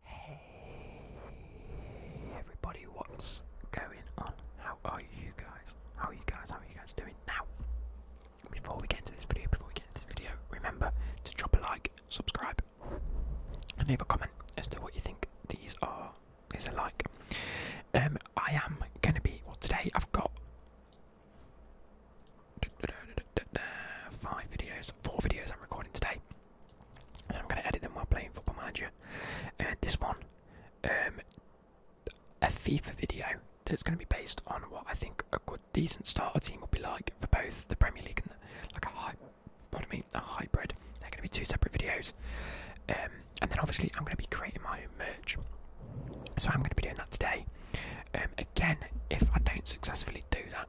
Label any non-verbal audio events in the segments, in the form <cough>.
Hey everybody, what's going on? How are you guys? How are you guys? How are you guys doing now? Before we get into this video, before we get into this video, remember to drop a like, subscribe, and leave a comment as to what you think these are these are like. Um I am gonna be well today I've got five videos, four videos I'm recording today, and I'm going to edit them while playing Football Manager. this one, um, a FIFA video that's going to be based on what I think a good, decent starter team will be like for both the Premier League and the, like a hybrid. They're going to be two separate videos, um, and then obviously I'm going to be creating my own merch. So I'm going to be doing that today. Um, again, if I don't successfully do that,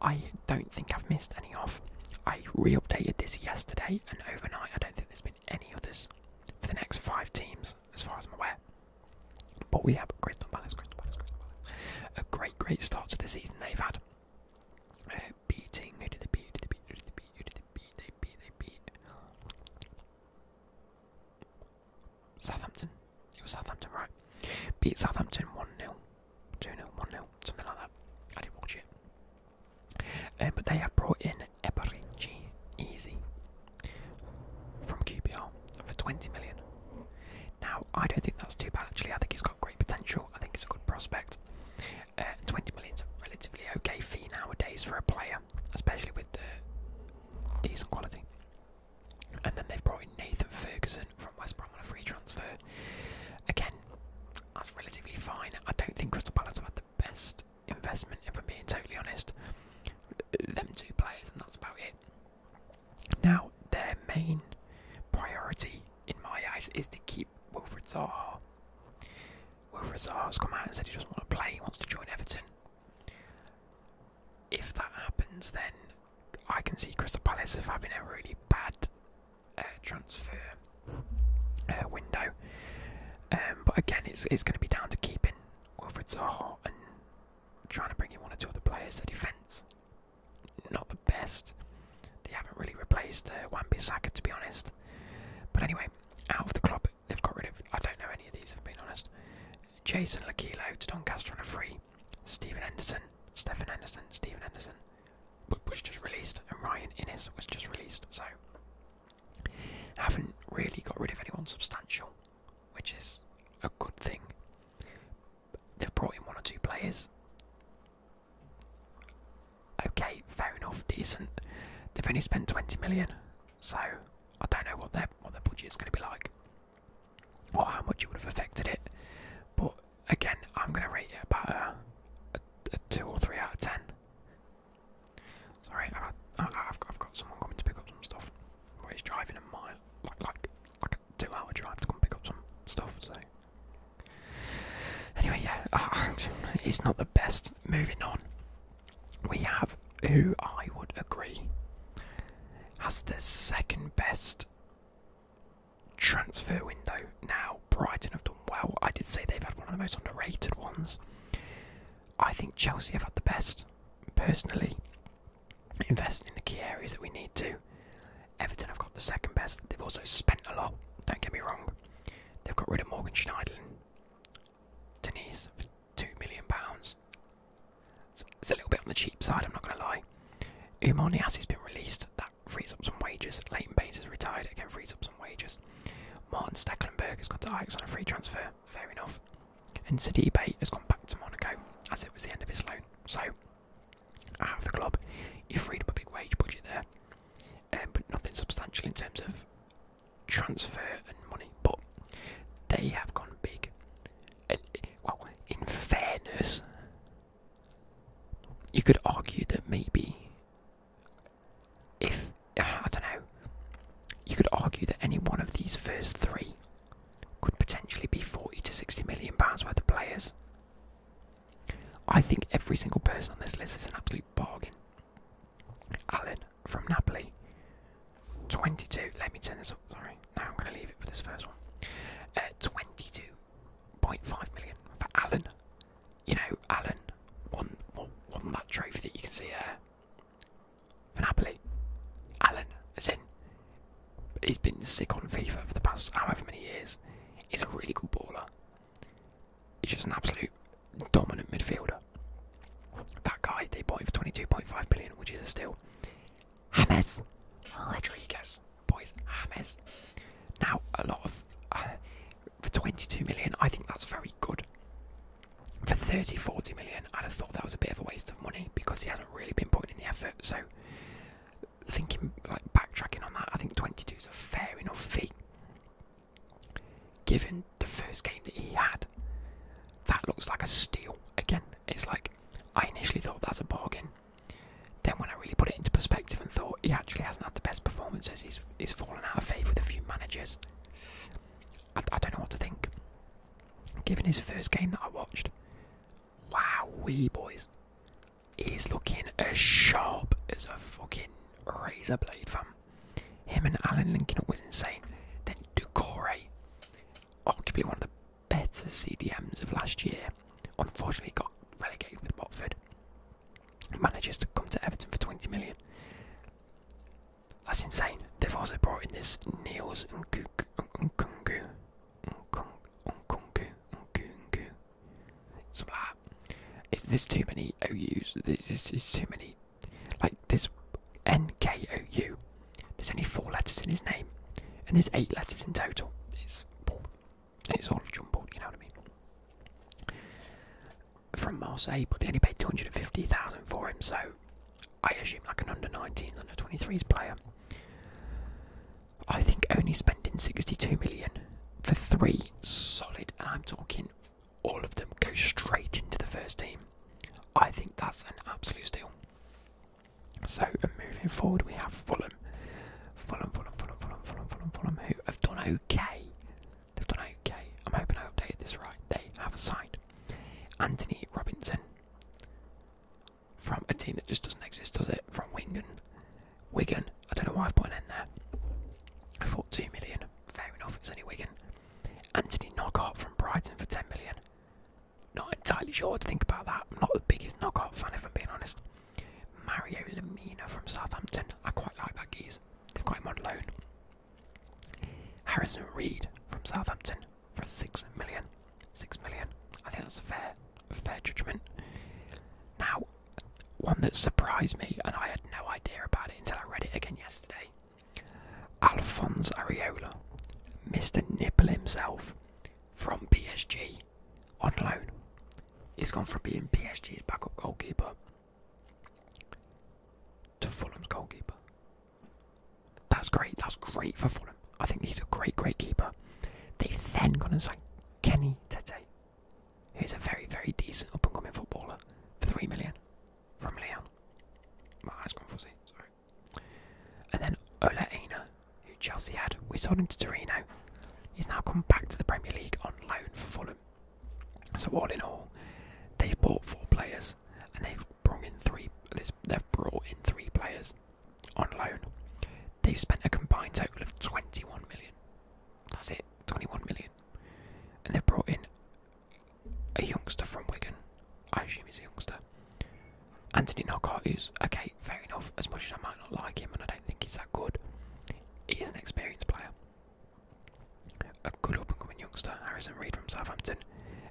I don't think I've missed any off. I re updated this yesterday and overnight. I don't think there's been any others for the next five teams, as far as I'm aware. But we have Crystal Palace, Crystal Palace, Crystal Palace. A great, great start to the season they've had. Uh, beating, who did they beat? Who did they Southampton. It was Southampton, right? Beat Southampton 1 0, 2 0, 1 0, something like that. I didn't watch it. Um, but they have brought in Eberici Easy from QPR for 20 million. Now, I don't think that's too bad actually. I think he's got great potential. I think he's a good prospect. Uh, 20 million is a relatively okay fee nowadays for a player, especially with the decent quality. And then they've brought in Nathan Ferguson from West Brom on a free transfer. Again, that's relatively fine. I don't think Crystal Palace have had the best investment, if I'm being totally honest. Them two players, and that's about it. Now, their main priority, in my eyes, is to keep Wilfred Zaha. Wilfred Zaha's come out and said he doesn't want to play, he wants to join Everton. If that happens, then I can see Crystal Palace have having a really bad uh, transfer uh, window. Um, but again, it's it's going to be down to keeping Wilfred Zaha and trying to bring in one or two other players. The defence, not the best. They haven't really replaced uh, Wan-Bissaka to be honest. But anyway, out of the club, they've got rid of. I don't know any of these. If I'm being honest, Jason Lakilo to Doncaster on a free. Stephen Anderson, Stephen Anderson, Stephen Anderson was just released, and Ryan Innes was just released. So haven't really got rid of anyone substantial, which is a good thing. They've brought in one or two players. Okay, fair enough, decent. They've only spent 20 million, so I don't know what their what their budget is going to be like or how much it would have affected it. But again, I'm going to rate it about a, 2 or 3 out of 10. Sorry, I've, got, someone coming to pick up some stuff. Where he's driving a mile, like, like, like a 2 hour drive to come pick up some stuff, so. Anyway, yeah, uh, it's not the best. Moving on, we have who I would agree has the second best transfer window now. Brighton have done well. I did say they've had one of the most underrated ones. I think Chelsea have had the best, personally. Investing in the key areas that we need to. Everton have got the second best. They've also spent a lot, don't get me wrong. They've got rid of Morgan Schneiderlin, Denise, two million pounds. It's, a little bit on the cheap side. I'm not going to lie. Umar Niassi's been released. That frees up some wages. Leighton Baines has retired. It Again, frees up some wages. Martin Stecklenberg has gone to Ajax on a free transfer. Fair enough. And City Bay has gone back to Monaco as it was the end of his loan. So, out of the club, you have freed up a big wage budget there. Um, but nothing substantial in terms of transfer and money. But they have gone big well, in fairness, you could argue that maybe if I don't know, you could argue that any one of these first three could potentially be 40 to 60 million pounds worth of players. I think every single person on this list is an absolute bargain. Alan, from Napoli. 22. Let me turn this up. Sorry. Now I'm going to leave it for this first one. At uh, 22.5 million for Allen. You know, Allen won, won, that trophy that you can see there for Napoli. Allen, as in, he's been sick on FIFA for the past however many years. He's a really good baller. He's just an absolute dominant midfielder that guy they bought him for 22.5 billion, which is a steal. James Rodriguez, boys, James. Now, a lot of uh, for 22 million, I think that's very good. For 30, 40 million, I'd have thought that was a bit of a waste of money because he hasn't really been putting in the effort. So, thinking like backtracking on that, I think 22 is a fair enough fee. Given the first game that he had. That looks like a steal. Again, it's like I initially thought that's a bargain. Then when I really put it into perspective and thought he actually hasn't had the best performances, he's he's fallen out of favour with a few managers. I, I don't know what to think. Given his first game that I watched, wow, wee boys, he's looking as sharp as a fucking razor blade, fam. Him and Alan linking up was insane. Then Decore, arguably one of the better CDMs of last year, unfortunately got relegated with Watford. Manages to come to Everton for 20 million. That's insane. They've also brought in this Niels Nkunku. Nkunku. Nkunku. Nkunku. Something like that. It's, there's too many OUs. There's, there's, there's too many like this NKOU, there's only four letters in his name, and there's eight letters in total. It's it's all jumbled, you know what I mean? From Marseille, but they only paid 250,000 for him, so I assume like an under 19s, under 23s player. I think only spending 62 million for three solid, and I'm talking all of them go straight into the first team. I think that's an absolute steal. So moving forward, we have Fulham. Fulham, Fulham, Fulham, Fulham, Fulham, Fulham, Fulham, who have done okay. They've done okay. I'm hoping I updated this right. They have signed Anthony Robinson from a team that just doesn't exist, does it? From Wigan. Wigan. I don't know why I've put an N there. I thought two million. Fair enough. It's only Wigan. Anthony Knockart from Brighton for 10 million. Not entirely sure what to think about that. I'm not the biggest Knockart fan, if I'm being honest. Mario Lamina from Southampton. I quite like that geese. They've got him on loan. Harrison Reed from Southampton for 6 million. 6 million. I think that's a fair, a fair judgment. Now, one that surprised me, and I had no idea about it until I read it again yesterday. Alphonse Areola, Mr. Nipple himself, from PSG on loan. He's gone from being PSG's backup goalkeeper to Fulham's goalkeeper. That's great. That's great for Fulham. I think he's a great, great keeper. They've then gone and signed Kenny Tete, who's a very, very decent up and coming footballer for three million from Leon. My eyes gone fuzzy. Sorry. And then Olaina, who Chelsea had, we sold him to Torino. He's now come back to the Premier League on loan for Fulham. So all in all, they've bought four players, and they've brought in three. They've brought in three players on loan. They've spent a combined total of 21 million. That's it, 21 million. And they've brought in a youngster from Wigan. I assume he's a youngster. Anthony Knockhart is okay, fair enough. As much as I might not like him, and I don't think he's that good, he's an experienced player. A good up-and-coming youngster, Harrison Reed from Southampton,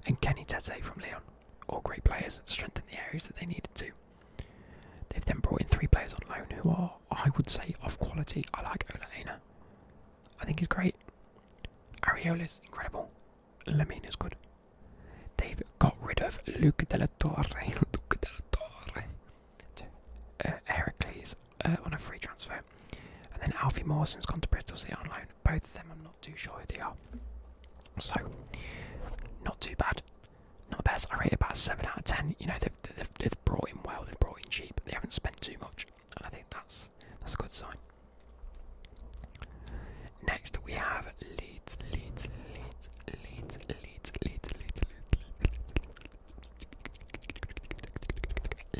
and Kenny Tete from Leon, all great players, strengthened the areas that they needed to. They've then brought in three players on loan who are, I would say, of quality. I like Ola I think he's great. Ariola is incredible. Lamine is good. They've got rid of Luke de la Torre. <laughs> Luke de la Torre. To, uh, Heracles uh, on a free transfer. And then Alfie morrison has gone to Bristol City on loan. Both of them, I'm not too sure who they are. So, not too bad. Not the best. I rate about 7 out of 10. You know, they've, they've brought in well, they've brought in cheap, they haven't spent too much and I think that's that's a good sign. Next we have Leeds, Leeds, Leeds, Leeds, Leeds, Leeds, Leeds,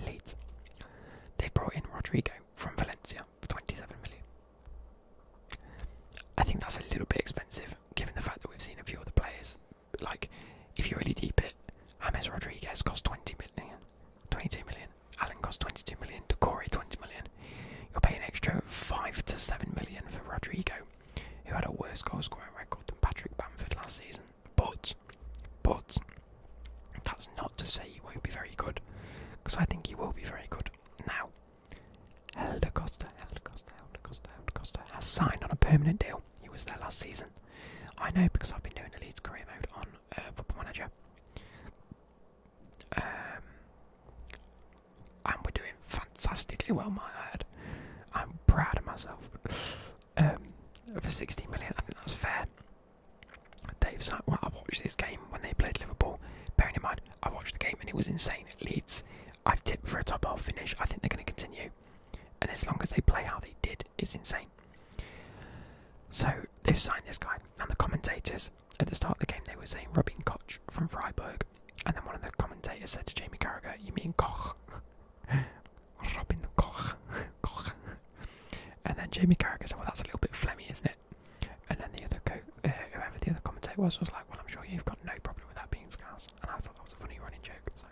Leeds, Leeds. They brought in Rodrigo from Valencia for 27 million. I think that's a little bit expensive, given the fact that we've seen a few other players like if you really deep it, James Rodriguez cost 20 million, Alan Allen cost 22 million. Corey 20 million. You'll pay an extra five to seven million for Rodrigo, who had a worse goalscoring record than Patrick Bamford last season. But, but that's not to say he won't be very good, because I think he will be very good. Now, Helder Costa, Helder Costa, Helder Costa, Helder Costa has signed on a permanent deal he was there last season. I know because I've been doing the Leeds career mode on uh, Football Manager. Um, and we're doing fantastically well, my head. I'm proud of myself. Um, for 60 million, I think that's fair. Dave's like, well, I watched this game when they played Liverpool. Bearing in mind, I watched the game and it was insane. Leeds, I've tipped for a top half finish. I think they're going to continue. And as long as they play how they did, it's insane. So they've signed this guy, and the commentators at the start of the game they were saying Robin Koch from Freiburg, and then one of the commentators said to Jamie Carragher, "You mean Koch, <laughs> Robin Koch, <laughs> Koch?" And then Jamie Carragher said, "Well, that's a little bit phlegmy, isn't it?" And then the other uh, whoever the other commentator was, was like, "Well, I'm sure you've got no problem with that being Scouse," and I thought that was a funny running joke. So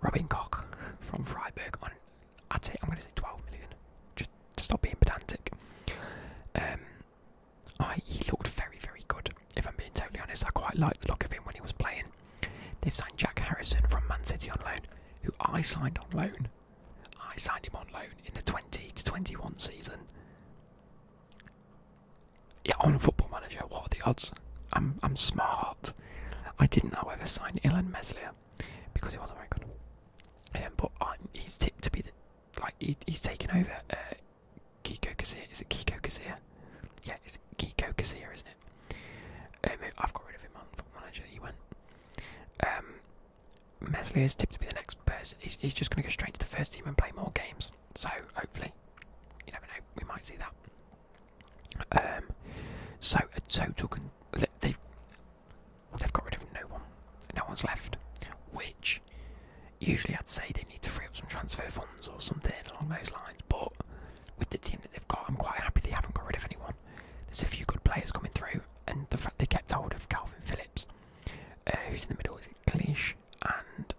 Robin Koch from Freiburg on, I'd say, I'm going to say 12 million, just stop being pedantic. Um, I, he looked very, very good, if I'm being totally honest. I quite liked the look of him when he was playing. They've signed Jack Harrison from Man City on loan, who I signed on loan. I signed him on loan in the 20 to 21 season. Yeah, on Football Manager, what are the odds? I'm I'm smart. I didn't, however, sign Ilan Meslier because he wasn't very good. Um, but he's tipped to be the like he's taken over. Uh, Kiko Kazir, is it Kiko Kazir? Yeah, it's Kiko Kazir, isn't it? Um, I've got rid of him on Football Manager. He went. Um, Meslier is tipped to be the next person. He's, he's just going to go straight to the first team and play more games. So hopefully, you never know, we might see that. Um, so a total they've they've got rid of no one, no one's left. Which usually I'd say they need to free up some transfer funds or something along those lines. But with the team that they've got, I'm quite happy they haven't got rid of anyone. There's a few good players coming through, and the fact they kept hold of Calvin Phillips, uh, who's in the middle, is it Cleash and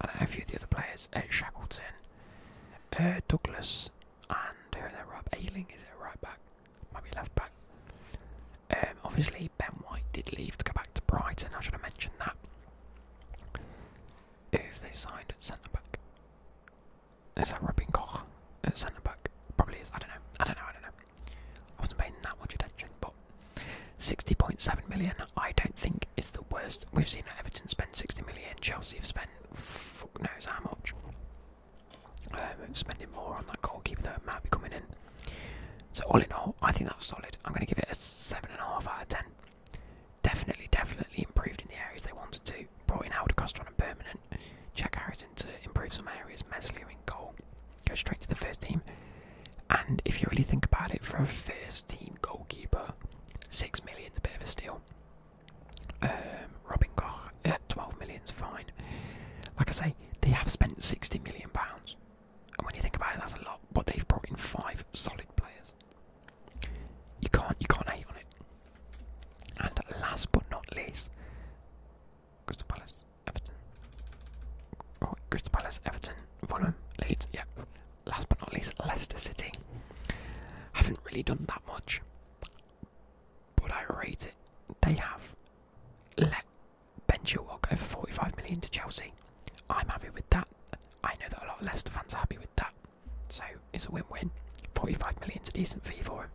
I don't and a few of the other players, uh, Shackleton, uh, Douglas, and who are there? Rob Ailing is it right back? Might be left back. Um, obviously, Ben White did leave to go back to Brighton. I should have mentioned that. If they signed at centre back, is that Robin Koch at centre back? Probably is. I don't know. I don't know. I don't know. I wasn't paying that much attention, but 60.7 million, I don't think is the worst. We've seen Everton spend 60 million, Chelsea have spent fuck knows how much. Um, spending more on that goalkeeper that might be coming in. So, all in all, I think that's solid. I'm going to give it a 7.5 out of 10. Definitely, definitely improved in the areas they wanted to. Brought in Howard Costa and permanent. Jack Harrison to improve some areas. Meslier in goal. Go straight to the first team. And if you really think about it, for a first team goalkeeper, six million's a bit of a steal. Um, Robin uh, twelve million's fine. Like I say, they have spent sixty million pounds, and when you think about it, that's a lot. But they've brought in five solid players. You can't, you can't hate on it. And last but not least, Crystal Palace, Everton. Oh, Crystal Palace, Everton, Fulham, Leeds. Yeah, last but not least, Leicester City. Haven't really done that much, but I rate it. They have let Ben Chilwell go for 45 million to Chelsea. I'm happy with that. I know that a lot of Leicester fans are happy with that, so it's a win win. million is a decent fee for him.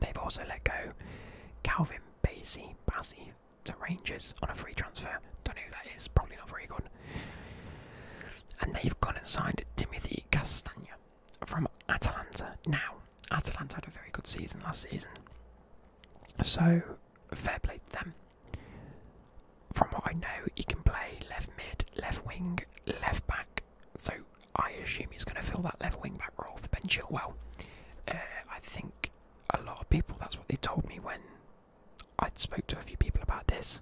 They've also let go Calvin Basie, Bassey to Rangers on a free transfer. Don't know who that is, probably not very good. And they've gone and signed Timothy Castagna from Atalanta. Now, Atalanta had a very good season last season, so fair play to them. From what I know, he can play left mid, left wing, left back. So I assume he's going to fill that left wing back role for Ben Chilwell. Uh, I think a lot of people, that's what they told me when I spoke to a few people about this,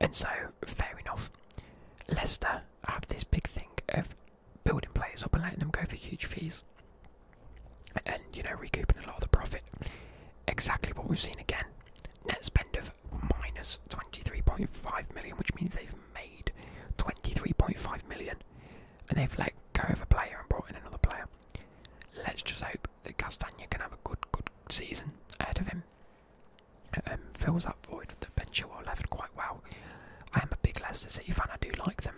and so fair enough. Leicester have this big thing of building players up and letting them go for huge fees, and you know recouping a lot of the profit. Exactly what we've seen again. Net spend of minus twenty three point five million, which means they've made twenty three point five million, and they've let go of a player and brought in another player. Let's just hope that Castagna can have a good, good season ahead of him. Um, fills that void that Ben Chilwell left quite well. I am a big Leicester City fan. I do like them.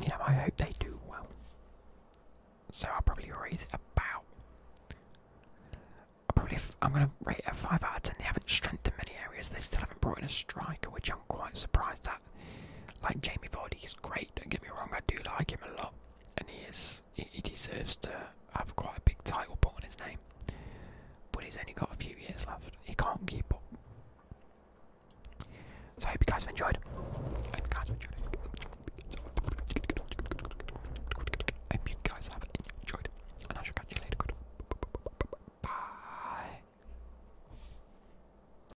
You know, I hope they do well. So I'll probably rate it about. I'll probably f I'm going to rate it a five out of ten. They haven't strengthened many areas. They still haven't brought in a striker, which I'm quite surprised that like Jamie Vardy is great. Don't get me wrong, I do like him a lot, and he is he deserves to have quite a big title put on his name. But he's only got a few years left. He can't keep up. So I hope you guys have enjoyed. I hope you guys have enjoyed. I hope you guys have enjoyed, and I shall catch you later. Bye.